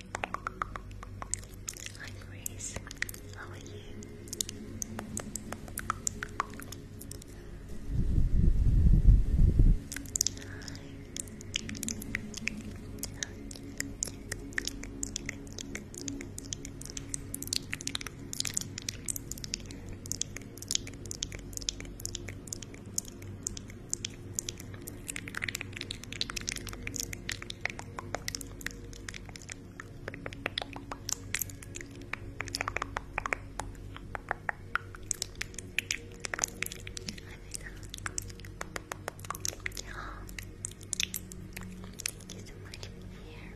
Hi Grace, how are you? so much for here. Thank you so much for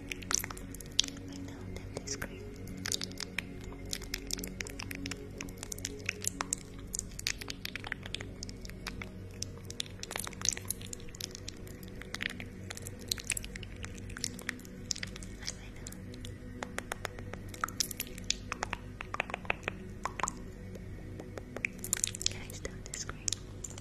I know that is great. I know. Guys, that is great.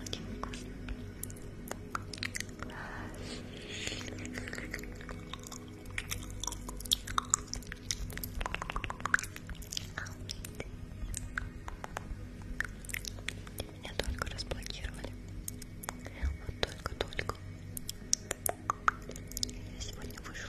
Очень вкусно. Меня только разблокировали. Вот только-только. Я сегодня вышла.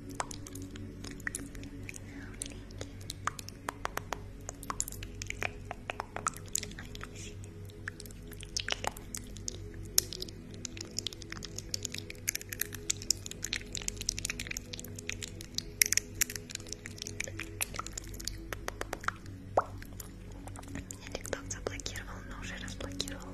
Мне тикток заблокировал, но уже разблокировал.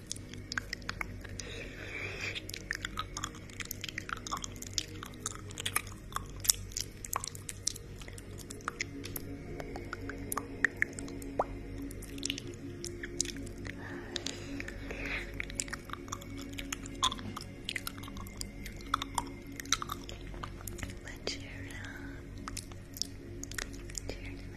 Cheer up. Cheer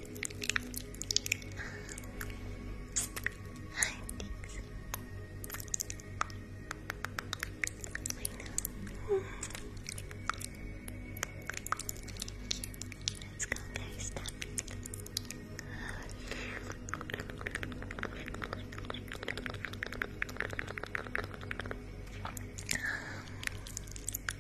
Hi, thanks. Let's go, guys. Stop. Um,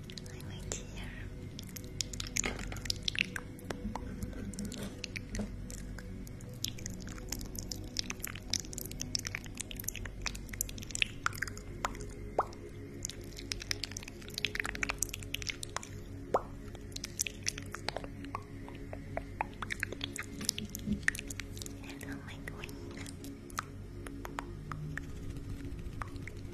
I like here. And on my queen.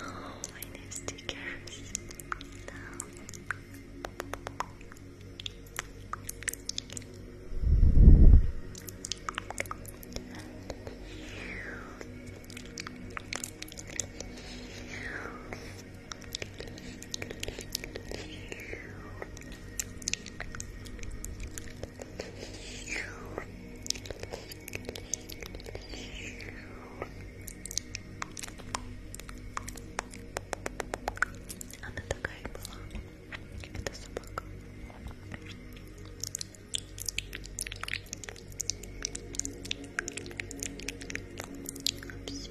Oh, my new stickers. Она такая и была. Это собака. Все.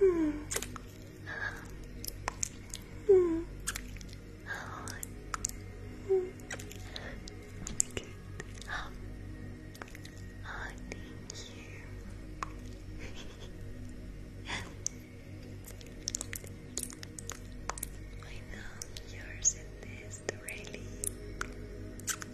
Hmm. Hmm. Oh, thank you. I yours in this really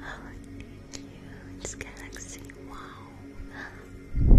Oh, you, galaxy! Galaxy, Wow.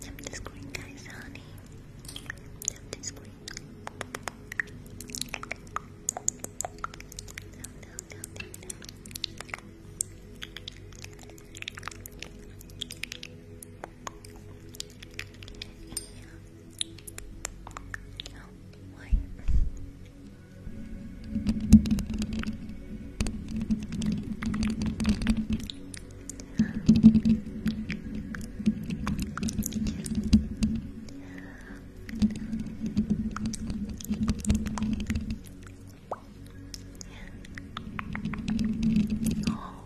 Tap the screen, guys, honey. Tap the screen. Down, yeah. Oh, what? Oh,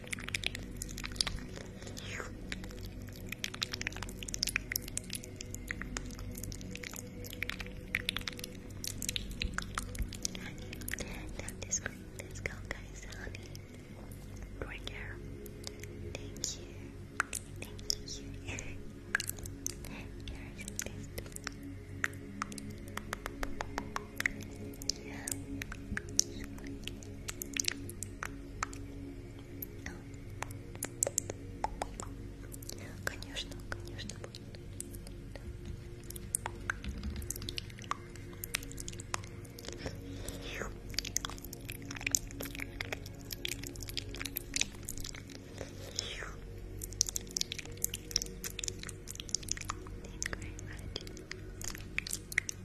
Let's go, guys, honey. Great girl. Thank you. Thank you. Конечно, конечно, будет. Thank you very much.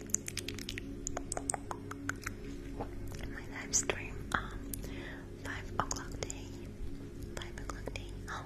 my live stream on um, 5 o'clock day 5 o'clock day oh.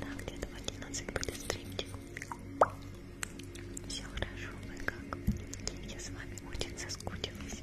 Да, где-то в 11 будет стримчик. Все хорошо, вы как? Я с вами очень соскучилась.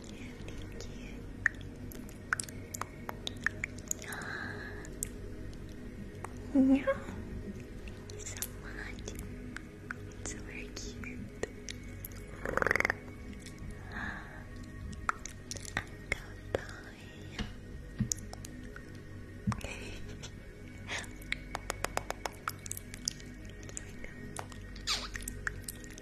you, yeah. Thank so much. It's so cute. Uncle boy. There we go.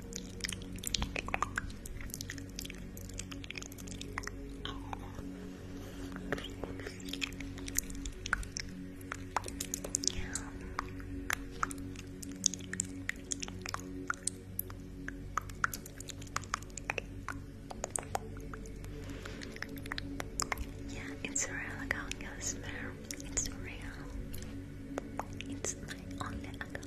Yeah, it's real. I can It's real. It's my only account.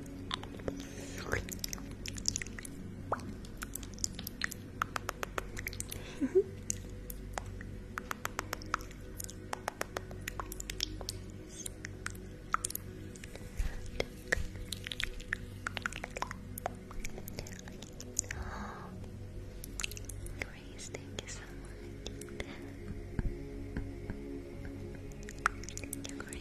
Grace, thank you so much. Thank you,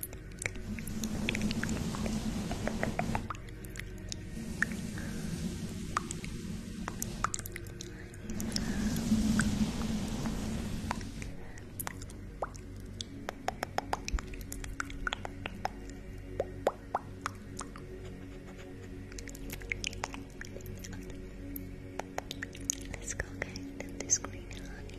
Let's go get this green honey.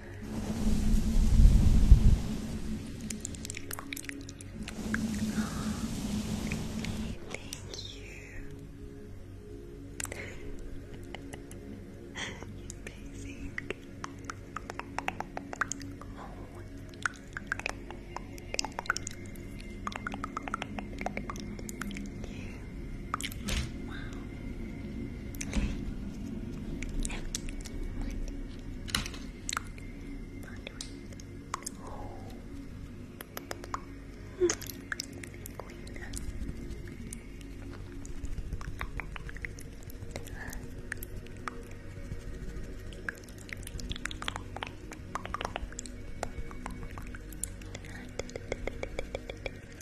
Thank you. Amazing. Oh. You Queen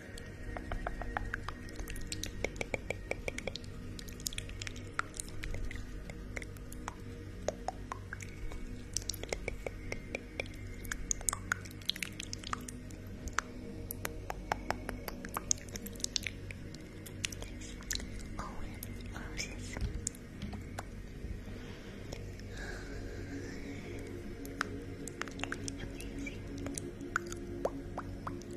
roses. Oh, Amazing.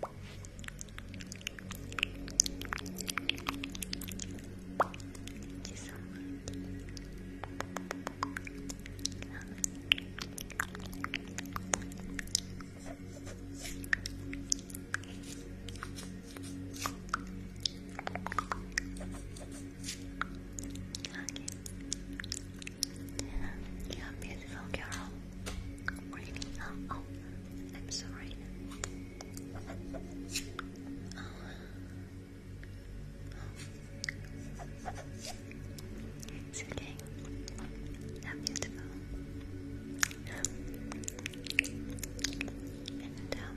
Thank you so much. beautiful girl. Really? oh. oh. I'm sorry. Oh. It's okay. I'm beautiful. And um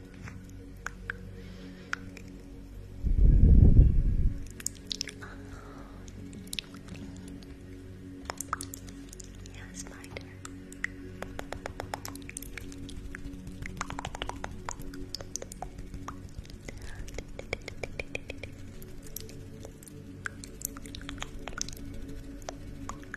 Yes, my dear.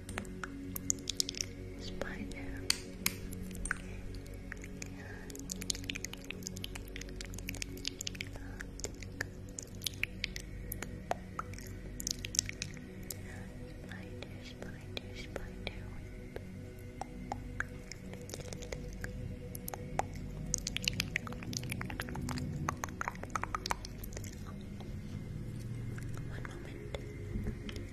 Spider. Spider, spider, spider One moment.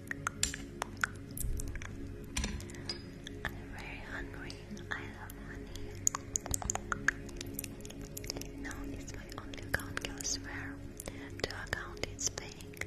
I'm very hungry. I love money. No, it's my only account, I swear. The account is fake.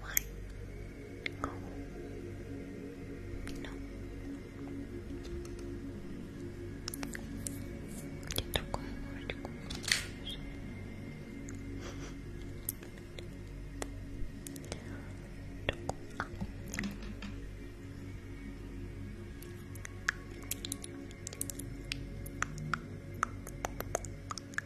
why? Oh. No. Где другой вроде Thank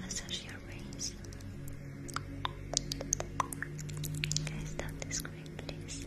Massage your face. Guys, stop the screen, please.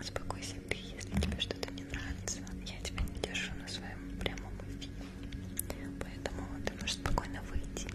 Успокойся ты, если тебе что-то не нравится. Я тебя не держу на своем прямом эфире. Поэтому ты можешь спокойно выйти. Спокойно.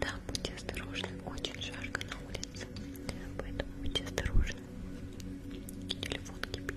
Да, будьте осторожны, очень жарко на улице, поэтому будьте осторожны. Телефон кипит.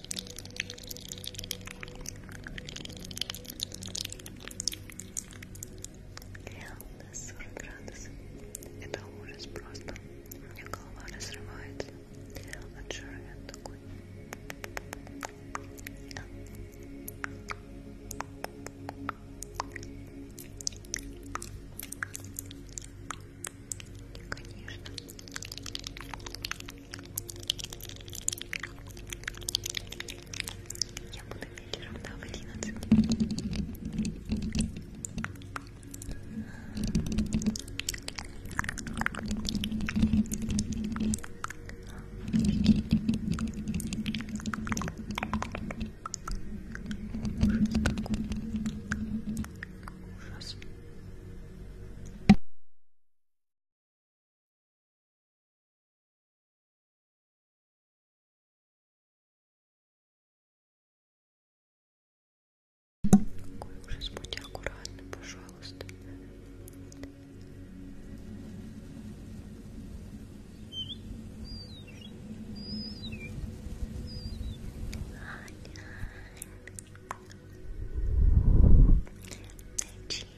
У нас 40 градусов. Это ужас просто. У меня голова разрывается. От жара я такой. Конечно. Я буду вечером, да, в 11. Ужас. Ужас. Какой ужас, будь аккуратны, пожалуйста. Начинай.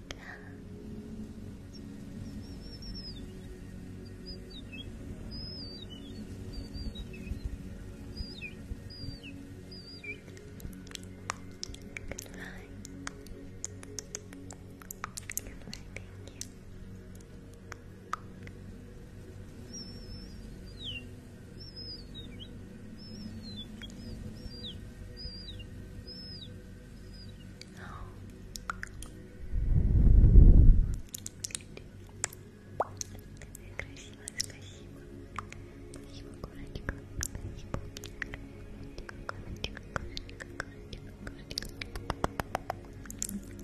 Good night. Good night. Thank you. Красиво, спасибо. Спасибо, Курочка. Спасибо. Курочка, Курочка, Курочка, Курочка. Спасибо,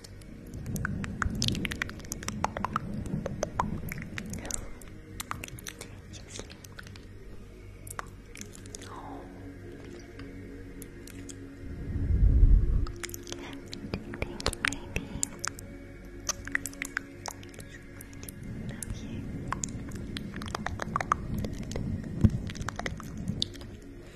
You sleep. Oh. Thank you, baby. Love you. Give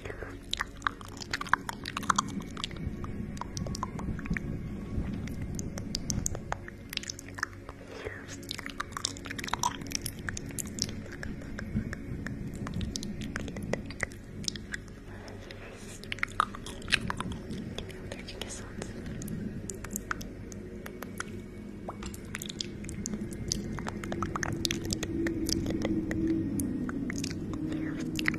me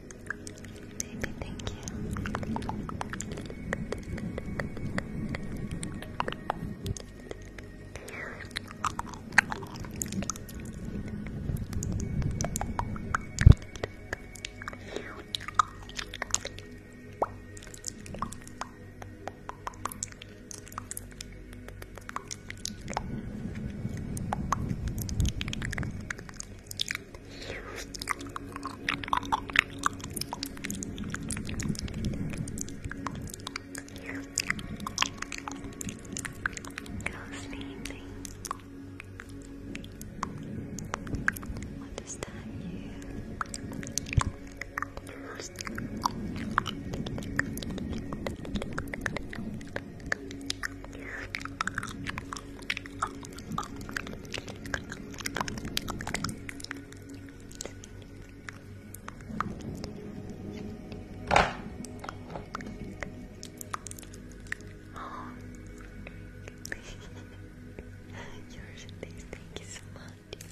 Baby, thank you. Thank Go sleepy. What does that mean? Go Yours thank you so much.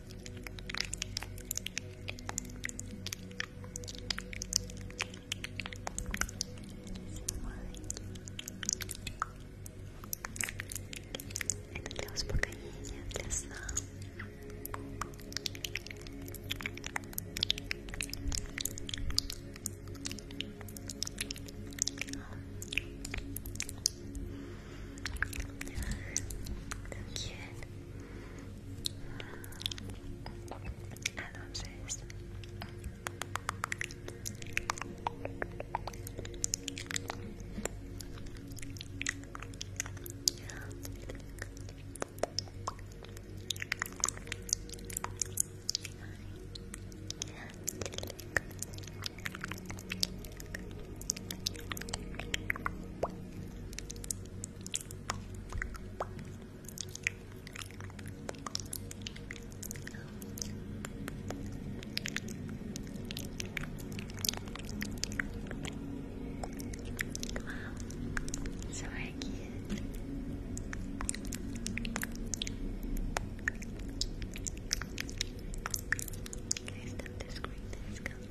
Это для успокоения, для сна. Ладно, So cute. I love this. Thank so cute. Guys, don't describe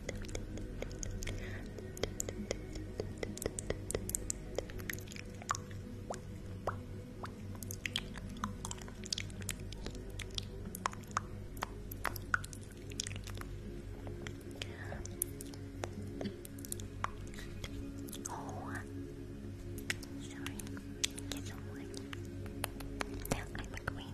Oh, sorry. Thank you I'm a queen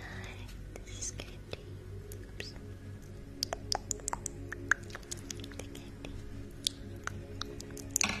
Hi, this is Candy. Oops. The candy. Hi,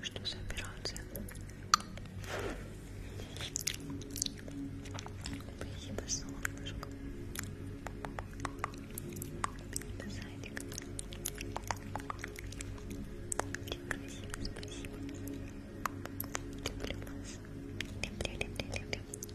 Что за операция? Спасибо, солнышко. Спасибо, зайчик. Ты красивый, спасибо. Люблю вас. Люблю, люблю, люблю.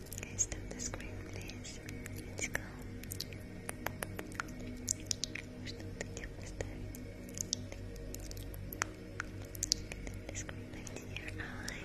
Okay, stop the screen, please. Let's go. The screen light in your eye.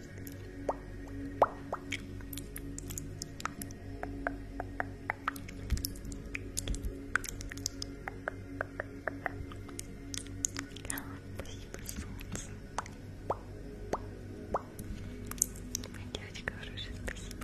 Спасибо, солнце. Моя девочка хорошая, спасибо.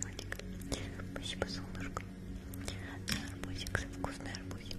Владик. Спасибо, солнышко. Арбузик, вкусный арбузик.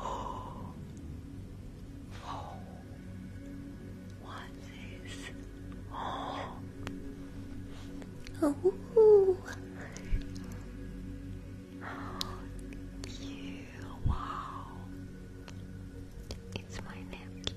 Oh. What is? Oh. You. Wow. It's my napkin.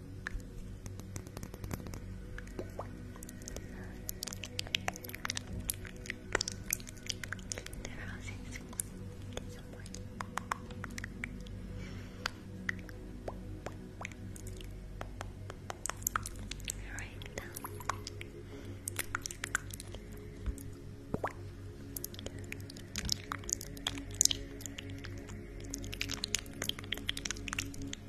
The roses. Get some more. Right now. Right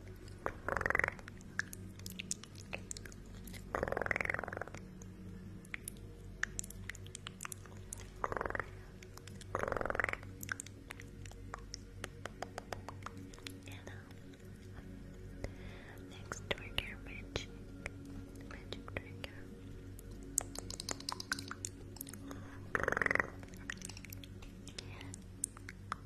Uh, next trigger, magic, magic trigger. Yeah.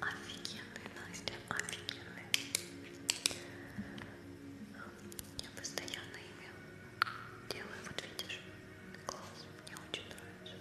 Офигенный, Настя, офигенный. Я постоянно ими делаю, вот видишь, класс, мне очень нравится.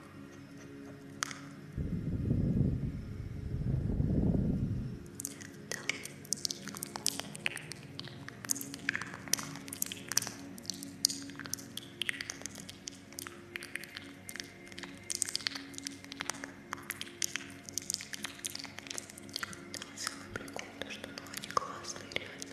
Там целый прикол, то что ну они классные, реально.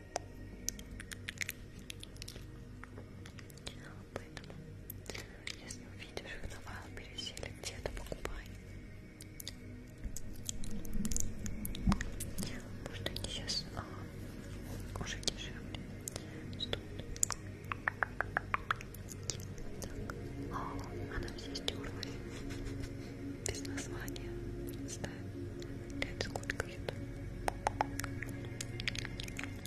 Поэтому, если увидишь их на Вайлберис или где-то, покупай. Может, они сейчас а, уже дешевле стоят. Так. О, она вся стерлась. Без названия. Ставим. Лет сколько это?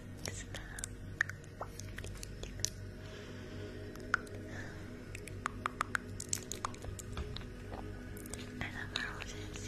I love roses.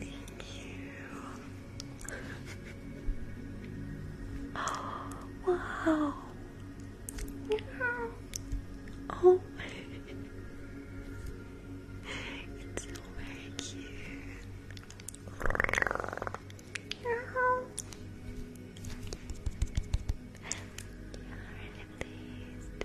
Thank you. wow. Yeah. Oh, it's so cute. Yeah. Yeah, really pleased.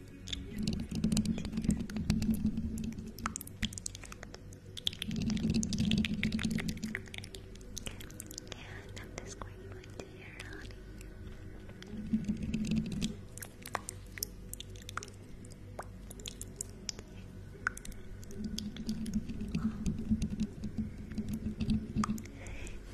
And I'm just going to put honey.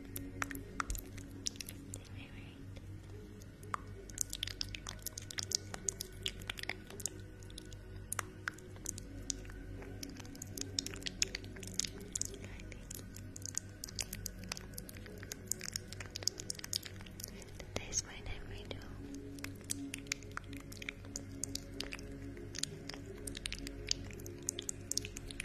That's my name right Thank you.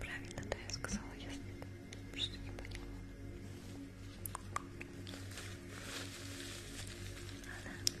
Правильно, да, я сказала, если что не поняла. Ладно.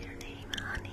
Your name, honey.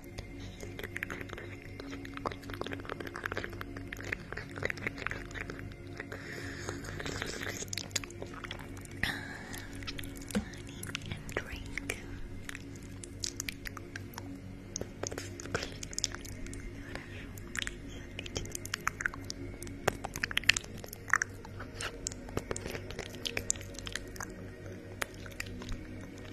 honey and drink.